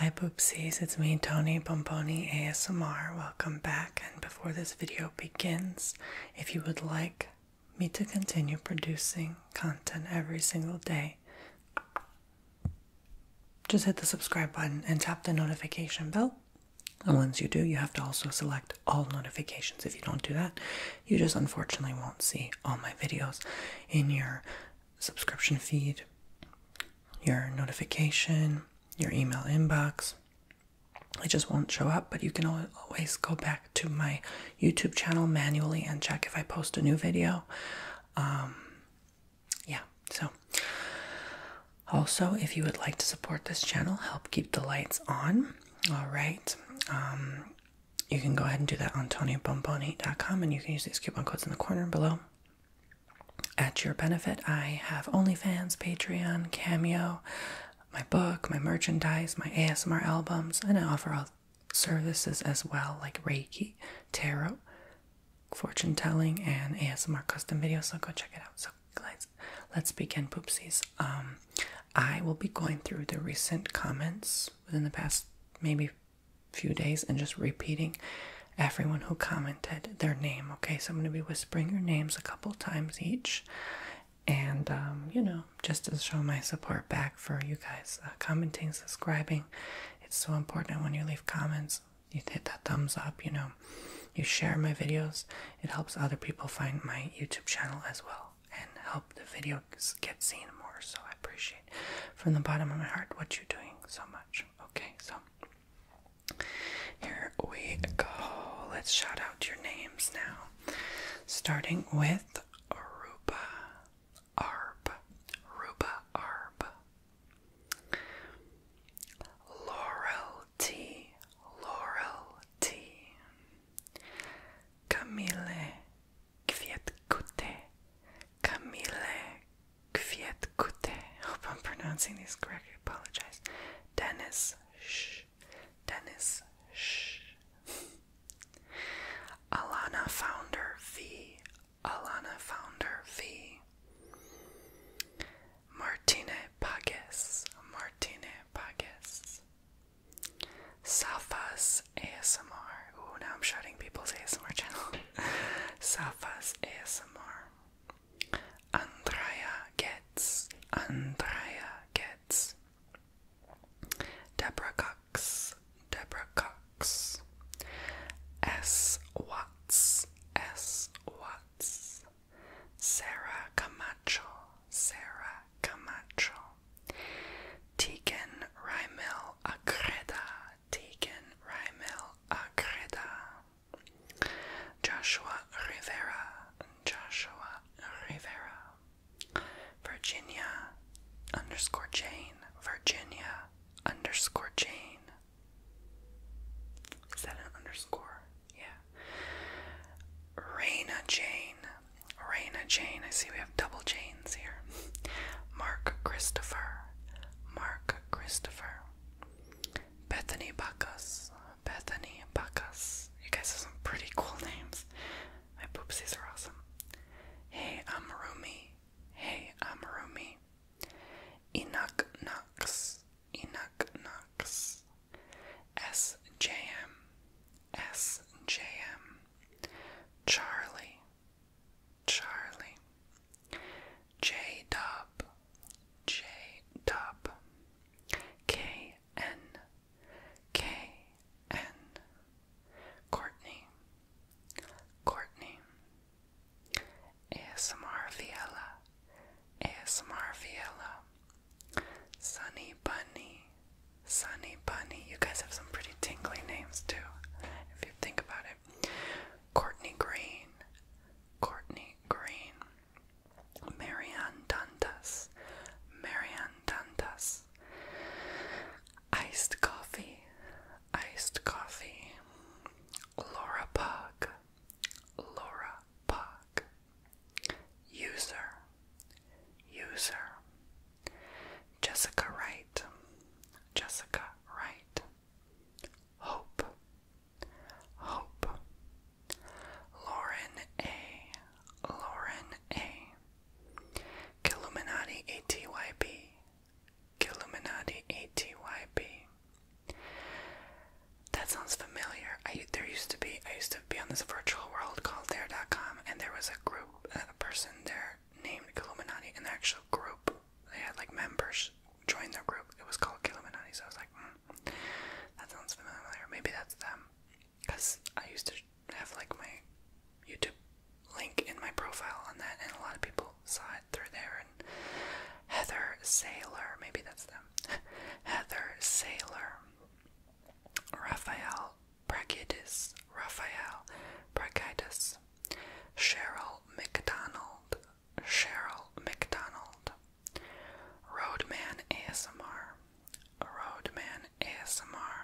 Hi Poopsies, it's me Tony Pomponi ASMR. Welcome back and before this video begins, if you would like me to continue producing content every single day, just hit the subscribe button and tap the notification bell. And once you do, you have to also select all notifications. If you don't do that, you just unfortunately won't see all my videos in your subscription feed, your notification, your email inbox. It just won't show up, but you can always go back to my YouTube channel manually and check if I post a new video. Um, yeah, so also, if you would like to support this channel, help keep the lights on. All right, um, you can go ahead and do that on TonyBomboni.com and you can use these coupon codes in the corner below. At your benefit, I have OnlyFans, Patreon, Cameo, my book, my merchandise, my ASMR albums, and I offer all services as well, like Reiki, Tarot, fortune telling, and ASMR custom videos. So go check it out. So let's let's begin, poopsies. Um, I will be going through the recent comments within the past maybe few days and just repeating everyone who commented their name. Okay, so I'm going to be whispering your names a couple times each, and um, you know, just to show my support back for you guys uh, commenting, subscribing. It's so important when you leave comments, you hit that thumbs up, you know, you share my videos, it helps other people find my YouTube channel as well and help the videos get seen more. So I I appreciate from the bottom of my heart what you're doing so much. Okay, so here we go. Let's shout out your names now. Starting with Aruba Arb. Ruba Arb. Laurel T. Laurel T. Camille Kvietkute. Camille Kvietkute. Hope I'm pronouncing these correctly. Apologize. Dennis Sh. Dennis Sh. Alana Founder V. Alana Founder V. Martine Pages. Martine Pages. Safas ASMR. Oh, now I'm shouting people's ASMR channel. Safa's ASMR. Andrea Gets. Andrea Gets. Deborah Cox. Deborah Cox. S. Watts. S. Watts. Sarah Camacho. Sarah Camacho. Tegan Rymel Agreda. Tegan Rymel Agreda, Joshua Rivera, Joshua Rivera, Virginia underscore Jane, Virginia underscore Jane. Is that an underscore? Yeah. Raina Jane. Raina Jane. I see we have double chains here. Mark Christopher, Mark Christopher, Bethany Bacchus, Bethany Bacchus. You guys have some pretty cool names. My poopsies are awesome. Hey, I'm Rumi. Hey, I'm Rumi. Enoch Knox, Enoch Knox. SJM, SJM. Charlie, Charlie. J Dub. J Dub. K N. K N. Courtney. Courtney. ASMR Viella. ASMR Viella. Sunny Bunny. Sunny Bunny. You guys have some pretty tingly names too, if you think about Courtney Green, Courtney Green, Marianne Dantas, Marianne Dantas, Iced Coffee, Iced Coffee, Laura Pug, Laura Pug, User, User, Jessica Wright, Jessica Wright, Hope. Hope. Lauren A. Lauren A. Killuminati ATYB. Killuminati ATYB. That sounds familiar. I there used to be I used to be on this virtual world called Dare.com and there was a group a person there named Illuminati in the actual group they had like members join their group. It was called Killuminati. So I was like, mm, that sounds familiar. Maybe that's them. Cause I used to have like my YouTube link in my profile on that, and a lot of people saw it through there. And Heather Sailor, maybe that's them. Heather Sailor, Raphael Brachidis, Raphael Brachidis, Cheryl McDonald, Cheryl McDonald, Roadman ASMR, Roadman ASMR,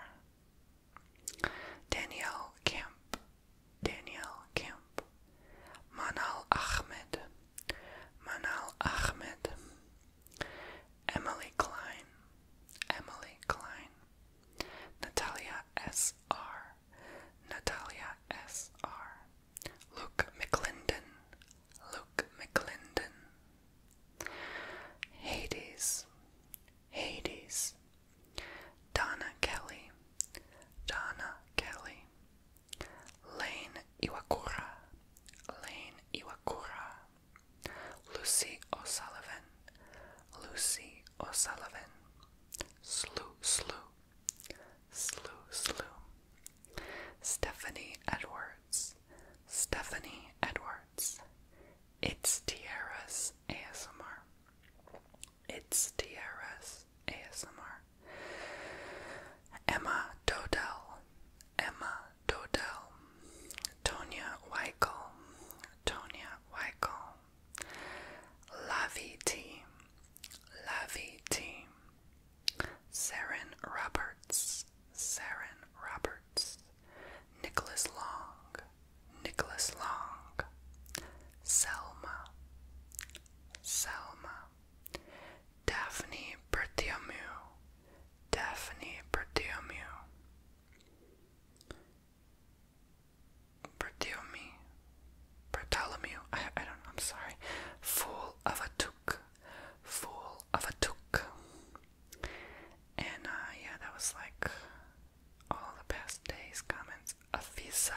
Danielle Camp, Danielle Camp, Manal Ahmed, Manal Ahmed, Emily Klein, Emily Klein, Natalia S.R., Natalia S.R. Luke McClendon, Luke McClendon, Hades, Hades, Donna Kelly, Donna Kelly, Lane Iwakura, Lane Iwakura, Lucy O'Sullivan, Lucy O'Sullivan, Slew, slew, slew, slew. Stephanie Edwards, Stephanie Edwards. It's Tierra's ASMR. It's Tierra's ASMR. Emma Dodell, Emma Dodell. Tonya Weichel, Tonya Weichel. Laviti, Laviti, Saren Roberts, Saren Roberts, Nicholas Long, Nicholas Long, Selma, Selma, Daphne Bertiomu, Daphne Bertiomu. Bartholomew, Bartholomew, I, I don't I'm sorry, fool of a took, fool of a took. And uh, yeah, that was like all the past day's comments. Afisa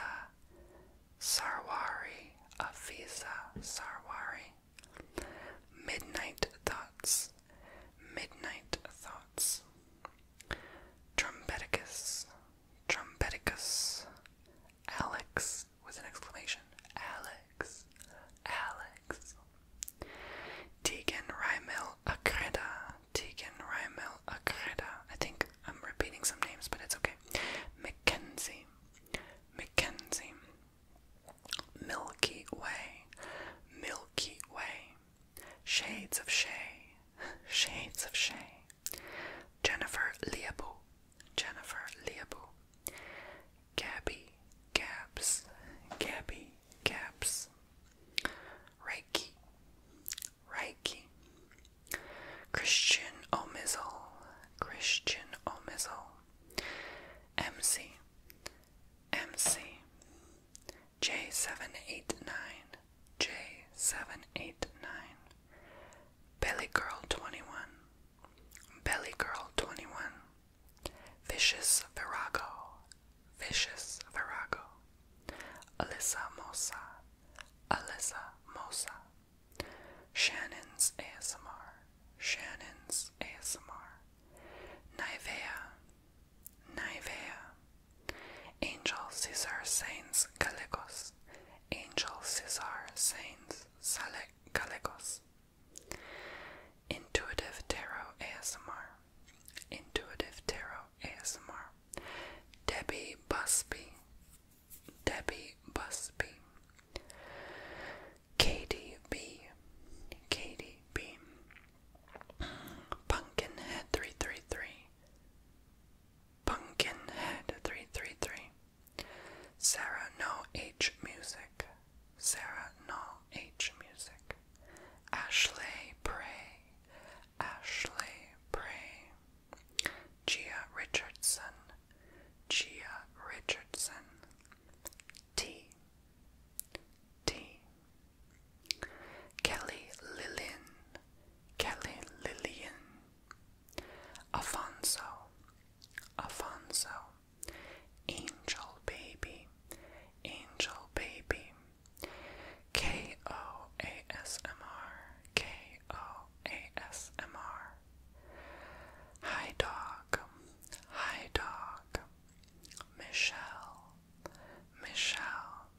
Sarwari, Afisa Sarwari. Midnight Thoughts, Midnight Thoughts. Trumpeticus, Trumpeticus. Alex with an exclamation. Alex. Alex. Tegan Rymel Acreda. Tegan Rymel Acreda. I think I'm repeating some names, but it's okay. Mackenzie. Mackenzie. Milky Way. Milky Way. Shades of Shay. Shades of shame. Jennifer Liabu, Jennifer Liabu, Gabby Gabs, Gabby Gabs, Reiki, Reiki, Christian Omizel, Christian Omizel, MC, MC, J789, J789, Belly Girl 21, Belly Girl 21, Vicious Virago, Vicious Virago, Alyssa Mosa, Alyssa Mosa, Shannon's ASMR, Shannon's ASMR, Naivea. Naivea. Angel Cesar Saints Gallegos, Angel Cesar Saints Sale Gallegos. Intuitive Tarot ASMR, Intuitive Tarot ASMR. Debbie Busby, Debbie Busby. Katie B, Katie B. Pumpkinhead 333, Pumpkinhead333, Sarah No H Music, Sarah No H Music, Ashley Pray, Ashley Pray, Gia Richardson, Gia Richardson, T. T. Kelly Lillian, Kelly Lillian. Afonso, Afonso, Angel Baby, Angel Baby, K O A S M R, K O A S M R, Hi Dog, hi Dog, Michelle, Michelle,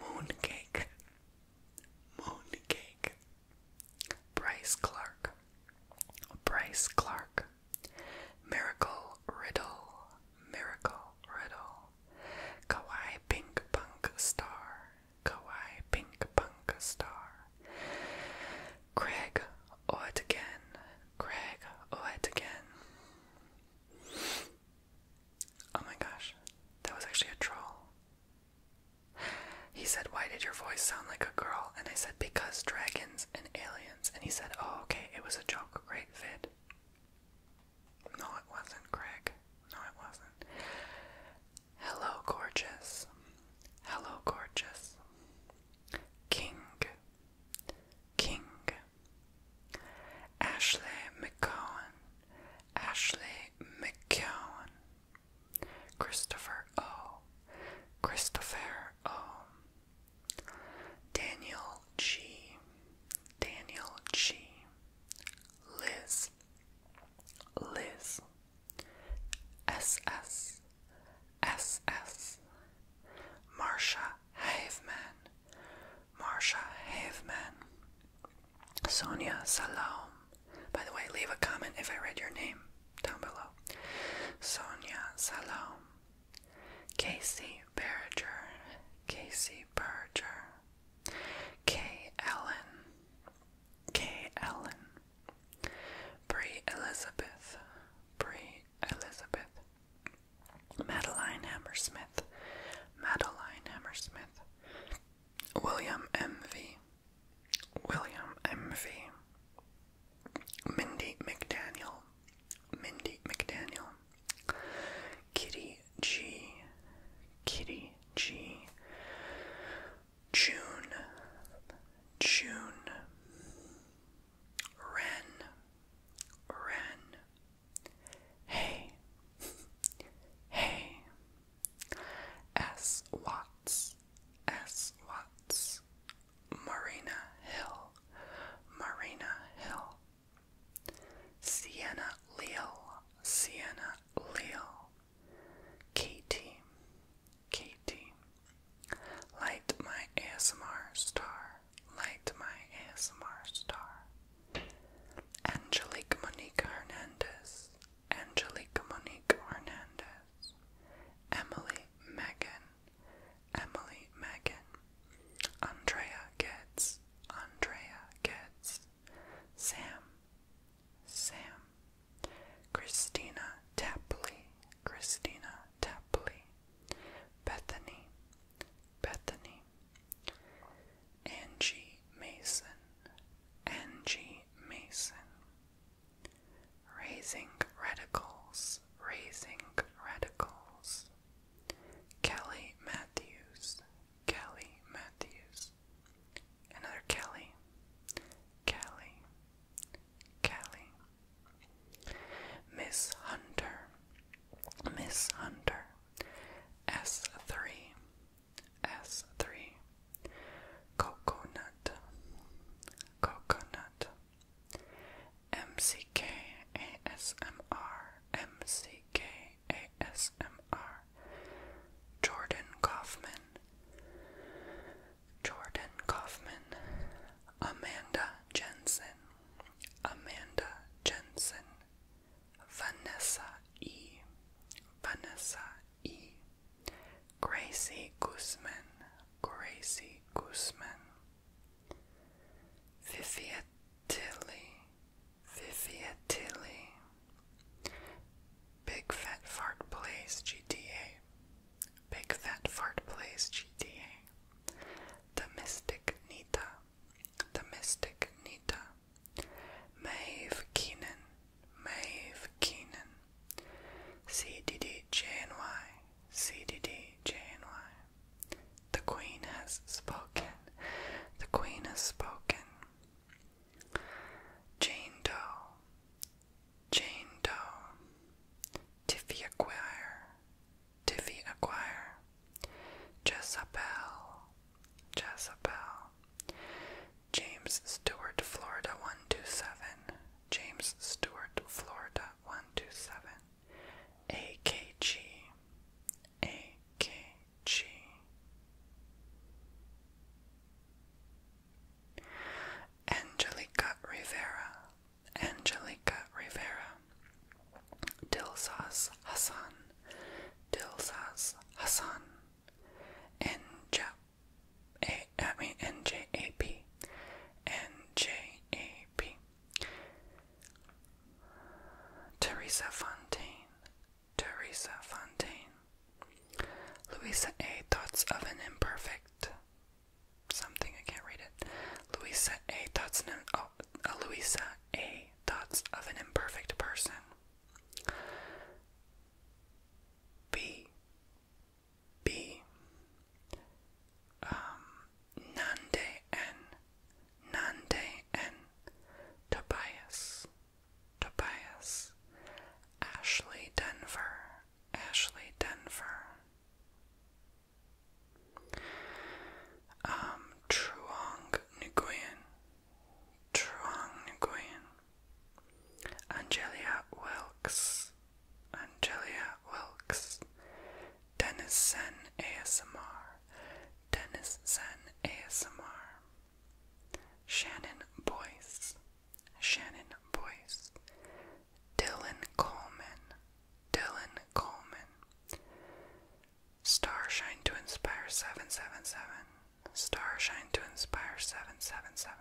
Mooncake, Mooncake, Bryce Clark, Bryce Clark, Miracle Riddle, Miracle Riddle, Kawaii Pink Punk Star, Kawaii Pink Punk Star, Craig Oet again, Craig Oet again. Oh my gosh, that was actually a troll. He said, Why did your voice sound like a girl? And I said, Because dragons and aliens. And he said, Oh, okay, it was a joke, Great fit." No, it wasn't, Greg. No, it wasn't. Hello, gorgeous. Hello, gorgeous. King. King. Ashley McCowan, Ashley McCowan, Christopher O, Christopher O, Daniel G, Daniel G, Liz, Liz, SS, SS, Marsha Haveman, Marsha Haveman, Sonia Salom. By the way, leave a comment if I read your name down below. Sonia Salom, Casey Berger, Casey Berger, Kay Ellen, Kay Ellen, Bree Elizabeth, Bree Elizabeth, Madeline Hammersmith, Madeline Hammersmith, William M.V., William M.V., Mindy McDaniel, Mindy McDaniel, Kitty G., Kitty G., June, June, Ren, Ren, Hey, hey, S. Watts, S. Watts, Marina Hill, Marina Hill, Sienna Leal, Sienna Leal, Katie, Katie, Light My ASMR Star, Light My ASMR Star. Angelique Monique Hernandez, Angelique Monique Hernandez, Emily Megan, Emily Megan, Andrea Getz, Andrea Getz, Sam, Sam, Christina Tapley, Christina Tapley, Bethany, Bethany, Angie Mason, Angie Mason. Raising Radicals, Raising Radicals. Kelly Matthews, Kelly Matthews. Another Kelly, Kelly, Kelly. Miss Hunter, Miss Hunter. S3, S3, coconut, coconut, MCK, ASMR, MCK, ASMR, Jordan Kaufman, Jordan Kaufman, Amanda Jensen, Amanda Jensen, Vanessa E. Vanessa E. Gracie Guzman. Gracie Guzman. Vivia Tilly. Vivia Tilly. Big Fat Fart Plays GTA. Big Fat Fart Plays GTA. The Mystic Nita. The Mystic Nita. Maeve Keenan, Maeve Keenan, CDDJNY, The Queen has spoken, the Queen has spoken. Jane Doe, Jane Doe, Tiffy Acquire, Tiffy Acquire, Jezebel, Jezebel. James Stewart, Florida 127. James Stewart, Florida 127. AKG, AKG. Angelica Rivera, Angelica Rivera. Dilsaz Hasan, Dilsaz Hasan, NJAP, NJAP, Teresa Fontaine, Teresa Fontaine, Louisa A. Thoughts of an Imperfect, something, I can't read it, Louisa A. Thoughts of an, oh, Louisa A. Thoughts of an imperfect person. B. Um, Nande N. Nande N. Tobias. Tobias. Ashley Denver. Ashley Denver. Um, Truong Nguyen. Truong Nguyen, Angelia Wilkes, Angelia Wilkes, Dennis Sen ASMR, Dennis Sen ASMR, Shannon Boyce, Shannon Boyce, Dylan Coleman, Dylan Coleman, Star shine to inspire 777. Star shine to inspire 777.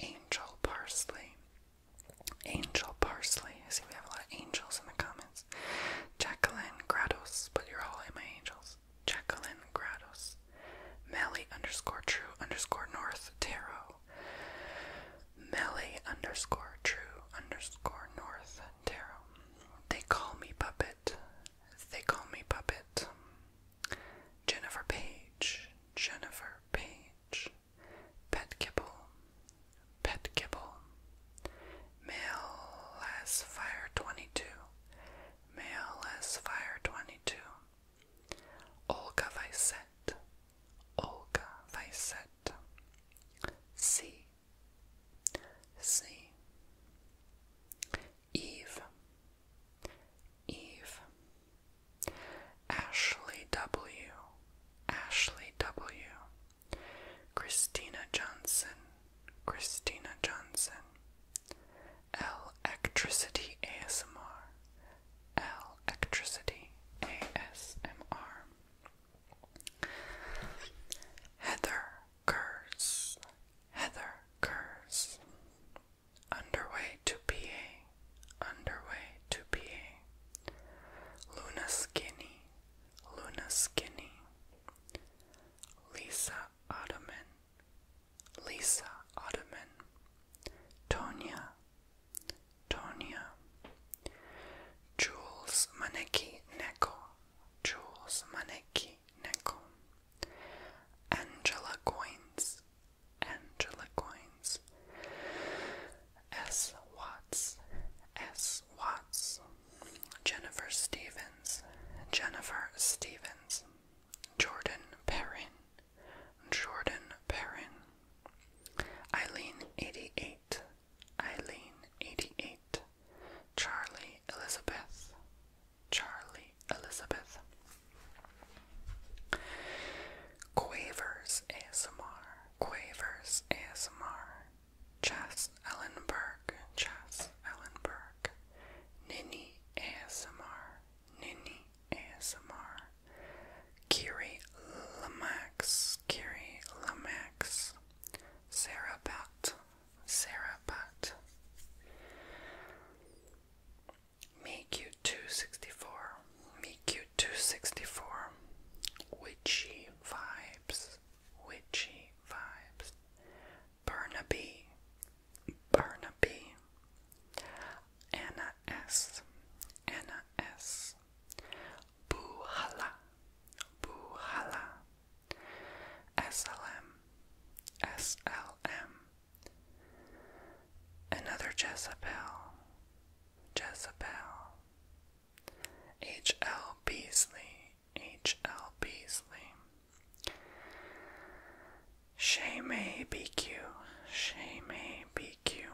Angel parsley. Angel parsley. I see we have a lot of angels in the comments. Jacqueline Grados, but you're all my angels. Jacqueline Grados. Melly underscore true underscore north tarot. Melly underscore true underscore north tarot. They call me puppet. They call me Puppet. Jennifer Page. Jennifer Page. Pet Kibble. Pet Kibble. Male as Fire 22. Male as Fire 22. Olga Vicette. Olga Vicette. C. C. Eve. Eve. Ashley W. Ashley W. Christina Johnson. Christina Johnson. L Electricity ASMR. L Electricity ASMR. Heather. Curse, Heather Curse. Underway to PA, underway to PA. Luna Skinny, Luna Skinny. Lisa Ottoman, Lisa Ottoman. Tonya, Tonya. Jules Maneki Neko, Jules Maneki nickel. Angela Coins, Angela Coins. S. Watts, S. Watts. Jennifer Stevens, Jennifer Stevens. Jordan Perrin, Jordan Perrin. Eileen 88, Eileen 88. Charlie Elizabeth. Charlie Elizabeth. Quavers ASMR. Quavers ASMR. Chess Ellenberg. Chess Ellenberg. Nini ASMR. Nini ASMR. Kiri Lamax. Kiri Lamax. Sarah Bat. Sarah Butt. MeQ264, MeQ264, Witchy Vibes, Witchy Vibes, Burnaby, Burnaby, Anna S, Anna S, Buhala, Buhala, SLM, SLM. Another Jezebel, Jezebel. H.L. Beasley, H.L. Beasley. Shame BQ, Shame BQ.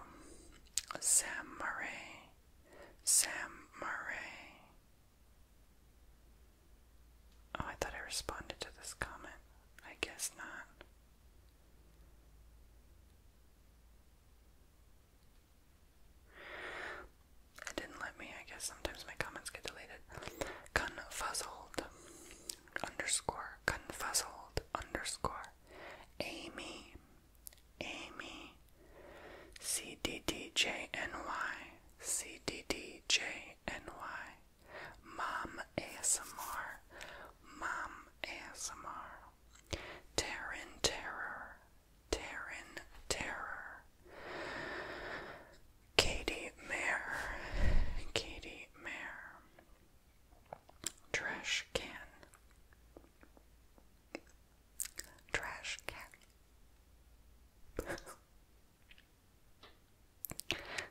Sam Murray, Sam Murray. Oh, I thought I responded to this comment. I guess not. It didn't let me. I guess sometimes my comments get deleted. Confuzzled underscore confuzzled underscore Amy Amy C D D J N Y C D D J M-A-N-Y, Mom ASMR, Mom ASMR, Terran Terror, Terran Terror, Katie Mare, Katie Mare, Trash Can, Trash Can.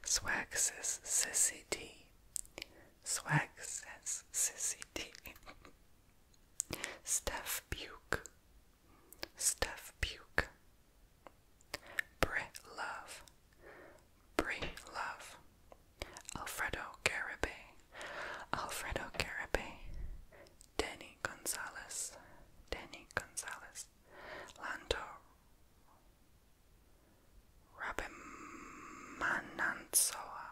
Swag says D. Swag says D. Steph Buke. Steph Buke. Brit Love. Brie Love. Alfredo Garibay. Alfredo Garibay. Danny Gonzalez. Danny Gonzalez. Lanto Rabimanantsoa,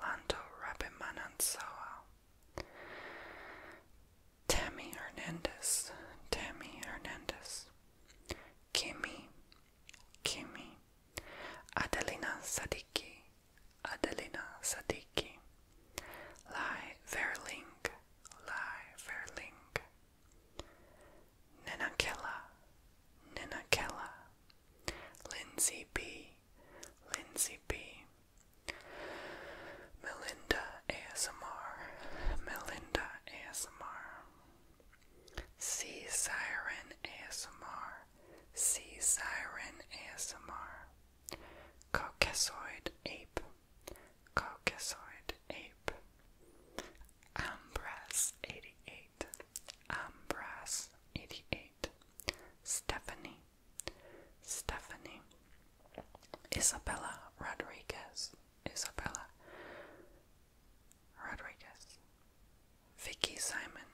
Lanto Rabimanantsoa, Tammy Hernandez, Tammy Hernandez, Kimmy, Kimmy, Adelina Sadiki, Adelina Sadiki, Lai Verling, Lieverling, Ninakilla, Ninakilla, Lindsay B, Lindsay B, Melinda ASMR, Melinda ASMR, C Siren ASMR, C Siren ASMR, Caucasoid Ape, Caucasoid ape. Ambras 88. Ambras 88. Stephanie. Stephanie. Isabella Rodriguez. Isabella Rodriguez. Vicky Simon.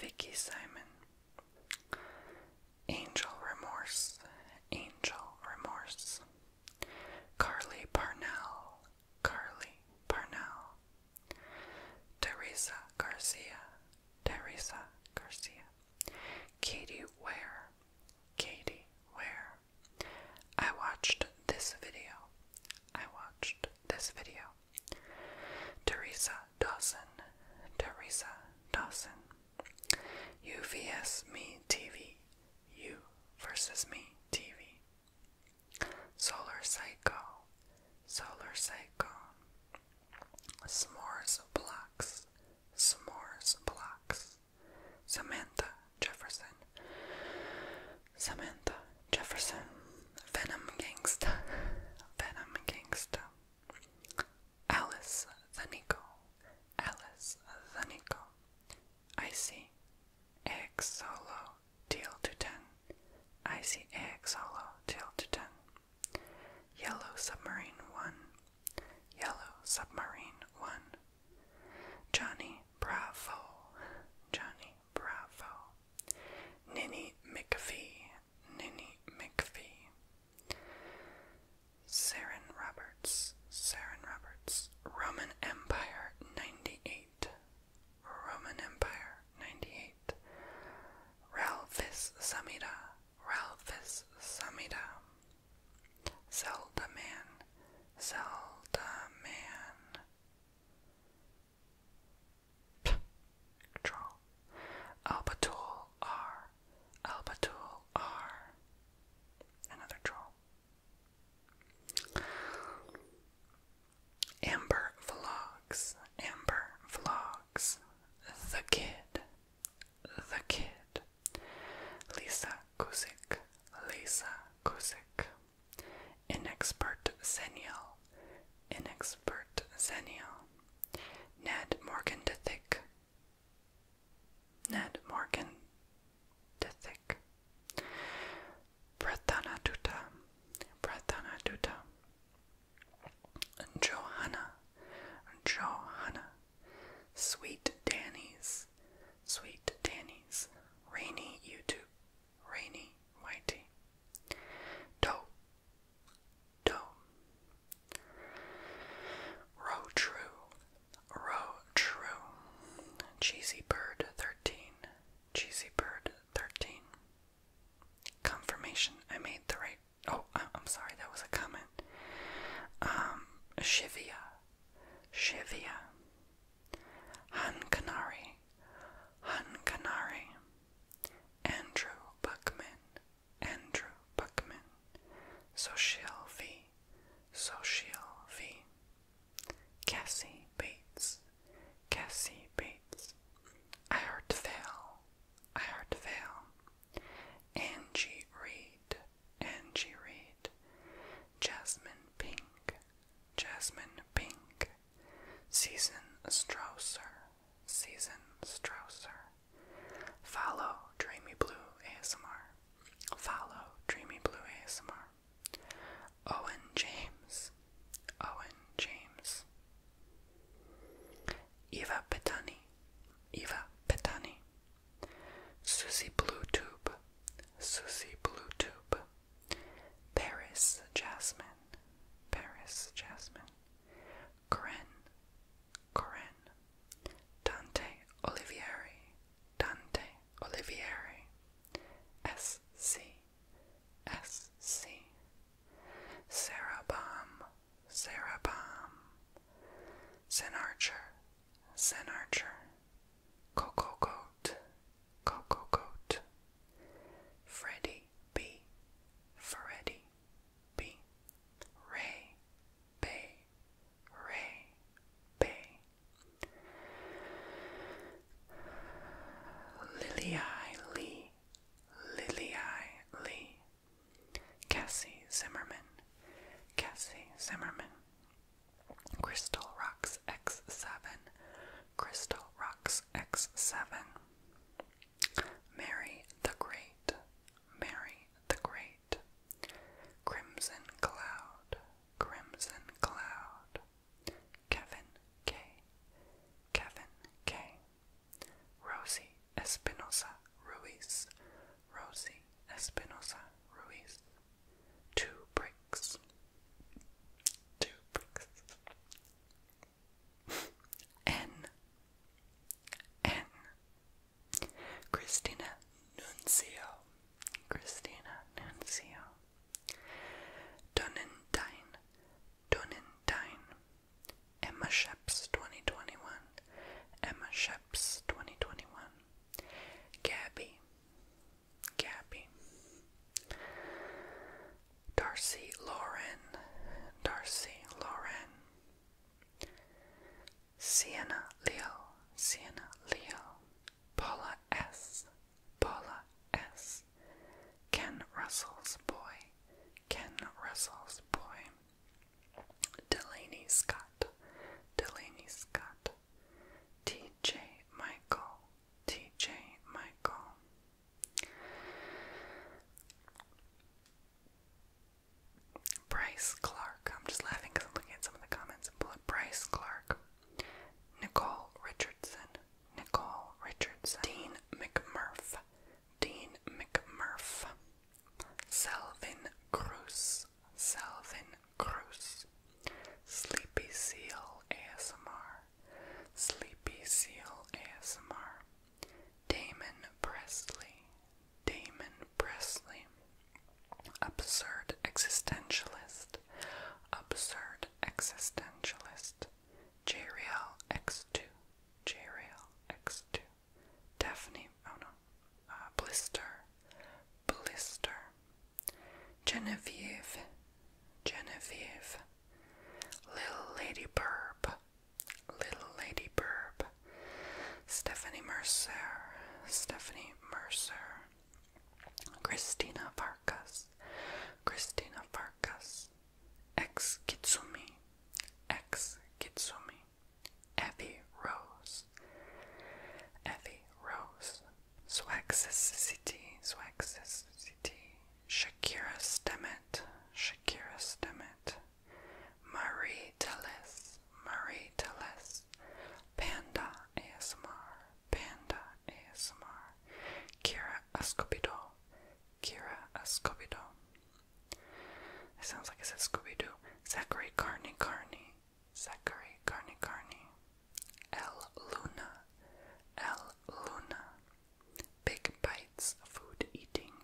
Vicky Simon. Angel Remorse. Angel Remorse. Carly Parnell, Carly Parnell, Teresa Garcia, Teresa Garcia, Katie Ware, Katie Ware. I watched this video. I watched this video. Teresa Dawson, Teresa Dawson, UVS Me TV, you versus Me TV, Solar Psycho, Solar Psycho, S'mores Blocks, S'mores Blocks, Samantha Jefferson, Samantha Jefferson, Venom Gangsta, Venom Gangsta, Alice the Nico, Alice Zanico. I see. X solo deal to ten. I see X solo to ten. Yellow submarine one. Yellow submarine one. Johnny Bravo. Johnny Bravo. Nini McFee. Nini McFee. Saren Roberts, Saren Roberts, Roman Empire 98, Roman Empire 98, Ralphis Samida, Ralphis Samida, Zelda Man, Zelda Man. Control. Albatul R. Albatul R. Another troll. Amber Vlogs. Amber Vlogs. The Kid. The Kid. Lisa Kuzik. Lisa Kuzik. Inexpert Zenial. Inexpert Zenial. Ned Morgan Dithick. Ned Morgan, Tithik, Prathana Dutta, Prathana Dutta, Johanna, Johanna, Sweet Danny's, Sweet Danny's, Rainy YouTube, Rainy Whitey, Do, Do, Row True, Row True, Cheesy Bird 13, Cheesy Bird 13. Confirmation I made the right. Oh, I'm sorry, that was a comment. Um, Shivia, Shivia, Han Kanari, Han Kanari, Andrew Buckman, Andrew Buckman, Social V, Social V, Cassie Bates, Cassie Bates, I Heart Fail, I Heart Fail, Angie Reed, Angie Reed, Jasmine Pink, Jasmine Pink, Season Strausser, Season Strausser, Follow Dreamy Blue ASMR. Follow Dreamy Blue ASMR. Owen James. Owen James. Eva Petani. Eva Petani. Susie Bluetube. Susie Bluetube. Paris Jasmine. Paris Jasmine. Corinne. Corinne. Dante Olivieri, Dante Olivieri, S C, S C, Sarah Baum, Sarah Baum, Zen Archer, Zen Archer, Coco Goat, Coco Goat, Freddie B, Freddy B, Ray, Bay, Ray, Bay, Lily I Lee, Lily I Lee, Cassie Zimmerman, Cassie Zimmerman, Crystal Rocks X7, Crystal Rocks X7, Mary the Great, Mary the Great. Crimson Cloud, Crimson Cloud. Kevin K. Kevin K. Rosie Espinosa Ruiz. Rosie Espinosa Ruiz. Two bricks. Two bricks. N. N. Christina Nuncio, Christina Nuncio, Donendine, Donendine, Emma Sheps 2021, Emma Sheps 2021, Gabby, Gabby, Darcy Lauren, Darcy Lauren. Sienna Leo, Sienna Leo, Paula S, Paula S, Ken Russell's boy, Ken Russell's boy, Delaney Scott, Delaney Scott, TJ Michael, TJ Michael. Bryce Clark, I'm just laughing because I'm looking at some of the comments. Bryce Clark, Nicole Richardson, Nicole Richardson, Dean McMurph, Dean McMurph, Selvin Cruz, Selvin Cruz, Sleepy Seal ASMR, Sleepy Seal ASMR, Damon Presley, Damon Presley, Absurd existentialist, absurd existentialist, JRL X2, JRL X2, Daphne, oh no, uh, Blister, Blister, Genevieve, Genevieve, Little Lady Burb, Little Lady Burb, Stephanie Mercer, Stephanie Mercer. Christina Farkas, Christina Farkas, ex Kitsumi, ex Kitsumi, Effie Rose, Effie Rose, Swaxicity, Swaxicity, Shakira Stemet, Shakira Stemet, Marie Tellis, Marie Teles, Panda ASMR, Panda ASMR, Kira Escobedo, Kira Escobedo. It sounds like it says Scooby Doo. Zachary Carney Carney, Zachary Carney Carney, L. Luna, L. Luna. Big Bites Food Eating,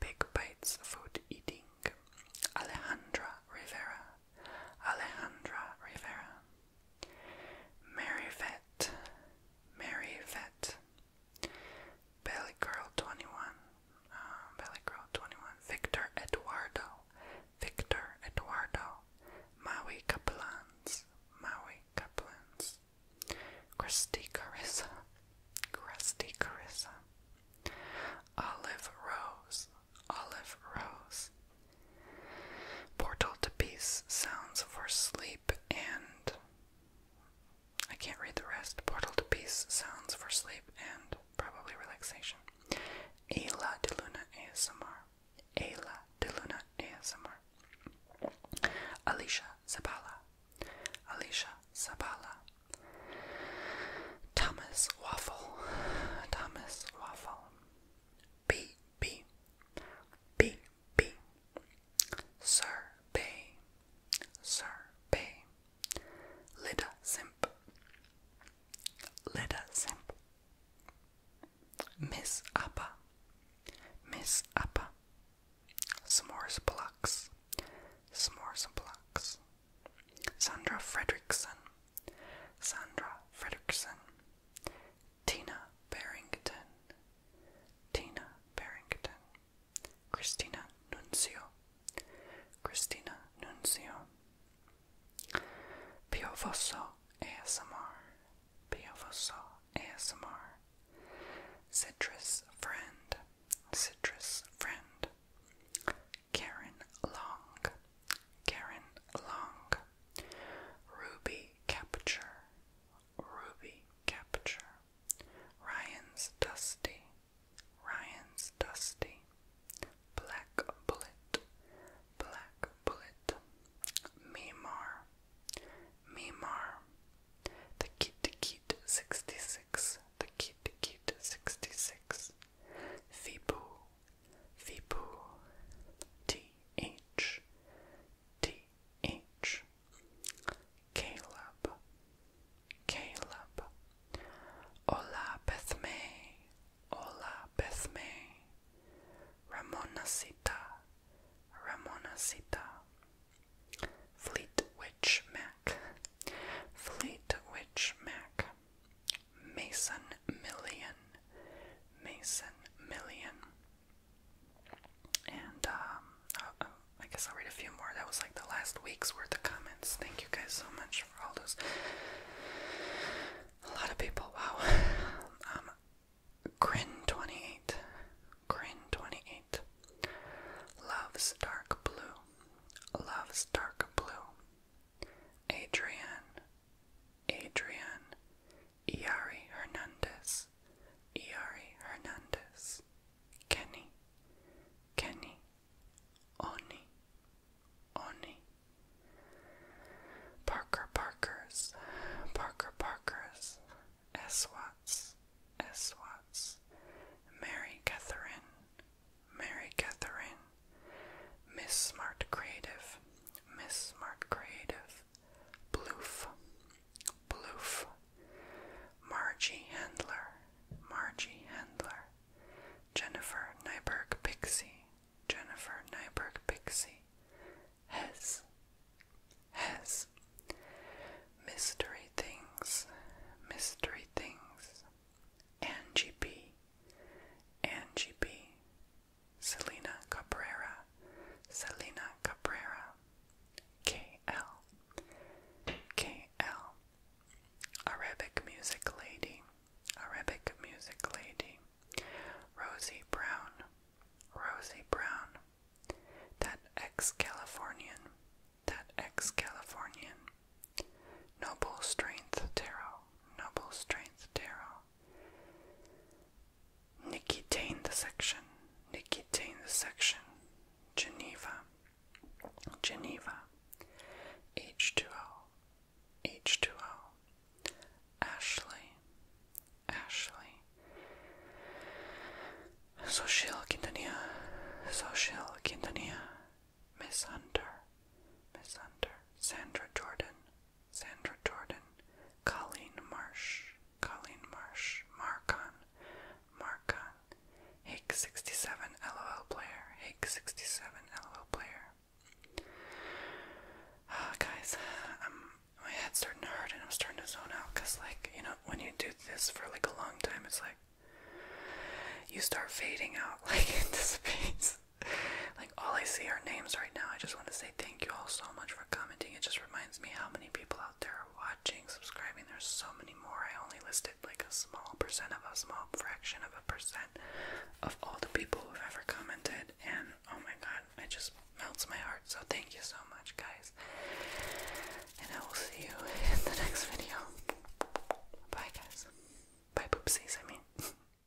Big Bites Food Eating, Alejandra Rivera, Alejandra Rivera, Mary Vett, Mary Belly Girl 21, uh, Belly Girl 21, Victor Eduardo, Victor Eduardo, Maui Kaplans, Maui Kaplans, Christy Carissa, Christy Carissa, Olive Rose, olive rose. Portal to peace sounds for sleep and. I can't read the rest. Portal to peace sounds for sleep and probably relaxation. Ayla de Luna ASMR. Ayla de Luna ASMR. Alicia Zabala. Alicia Zabala. Thomas Waffle. Thomas Waffle. P P P P Survey Survey Lida Simp Lida Simp Miss Appa Miss Appa S'mores Blocks S'mores Blocks Sandra Fredrickson Sandra Fredrickson, Tina Barrington, Tina Barrington, Christina Nuncio, Christina Nuncio, Piofoso ASMR, Piofoso ASMR, Citrus Friend, Citrus Friend, Karen Long, Karen Long, Ruby Capture, Ruby Capture, Ryan's Dusty, Ryan's Dusty, Black Bullet, Black Bullet, Mimar, Mimar, The Kid Kid 66, The Kid Kid 66, Fibu, Vipu, T H, T H, Caleb, Caleb, Ola Bethme, Ola Bethme, Ramonasita, Ramonasita, Fleet Witch Mac, Fleet Witch Mac. Mason Million. Mason Million. And um, uh, oh, I guess I'll read a few more. That was like the last week's worth of comments. Thank you guys so much for all those. A lot of people. Wow. Um, Grin twenty eight. Grin twenty eight. Loves dark blue. Loves dark blue. Adrian, Adrian, Iari Hernandez, Iari Hernandez, Kenny, Kenny, Oni, Oni, Parker Parkers, Parker Parkers, S. Watts, S. Watts, Mary Catherine, Mary Catherine, Miss Smart Creative, Miss Smart Creative, Bloof, Bloof, Margie Handler, Margie Handler, Jennifer Nyberg Pixie, Jennifer Nyberg Pixie, Has, Has, Mystery Things, Mystery Things, Angie B, Angie B, Selena Cabrera, Selena Cabrera, KL, Arabic Music Lady, Arabic Music Lady, Rosie Brown, Rosie Brown, that ex Californian, that ex Californian, Noble Strength Tarot, Noble Strength Tarot. Nikki Tain the section, Nikki Tain the section, Geneva, Geneva, H2O, H2O, Ashley, Ashley, Social Quintanilla, Social Quintanilla, Miss Hunter, Miss Hunter, Sandra Jordan, Sandra Jordan, Colleen Marsh, Colleen Marsh, Marcon, Marcon, Hake67, LOL player, Hake67, LOL player. Uh, guys, i my head's starting to hurt and I'm starting to zone out because, like, you know, when you do this for like a long time, it's like you start fading out, like, it dissipates. like all I see are names right now. I just want to say thank you all so much for commenting. It just reminds me how many people out there are watching, subscribing. There's so many more. I only listed like a small percent of a small fraction of a percent of all the people who've ever commented, and oh my god, it just melts my heart. So thank you so much, guys. And I will see you in the next video. Bye, guys. Bye, poopsies, I mean.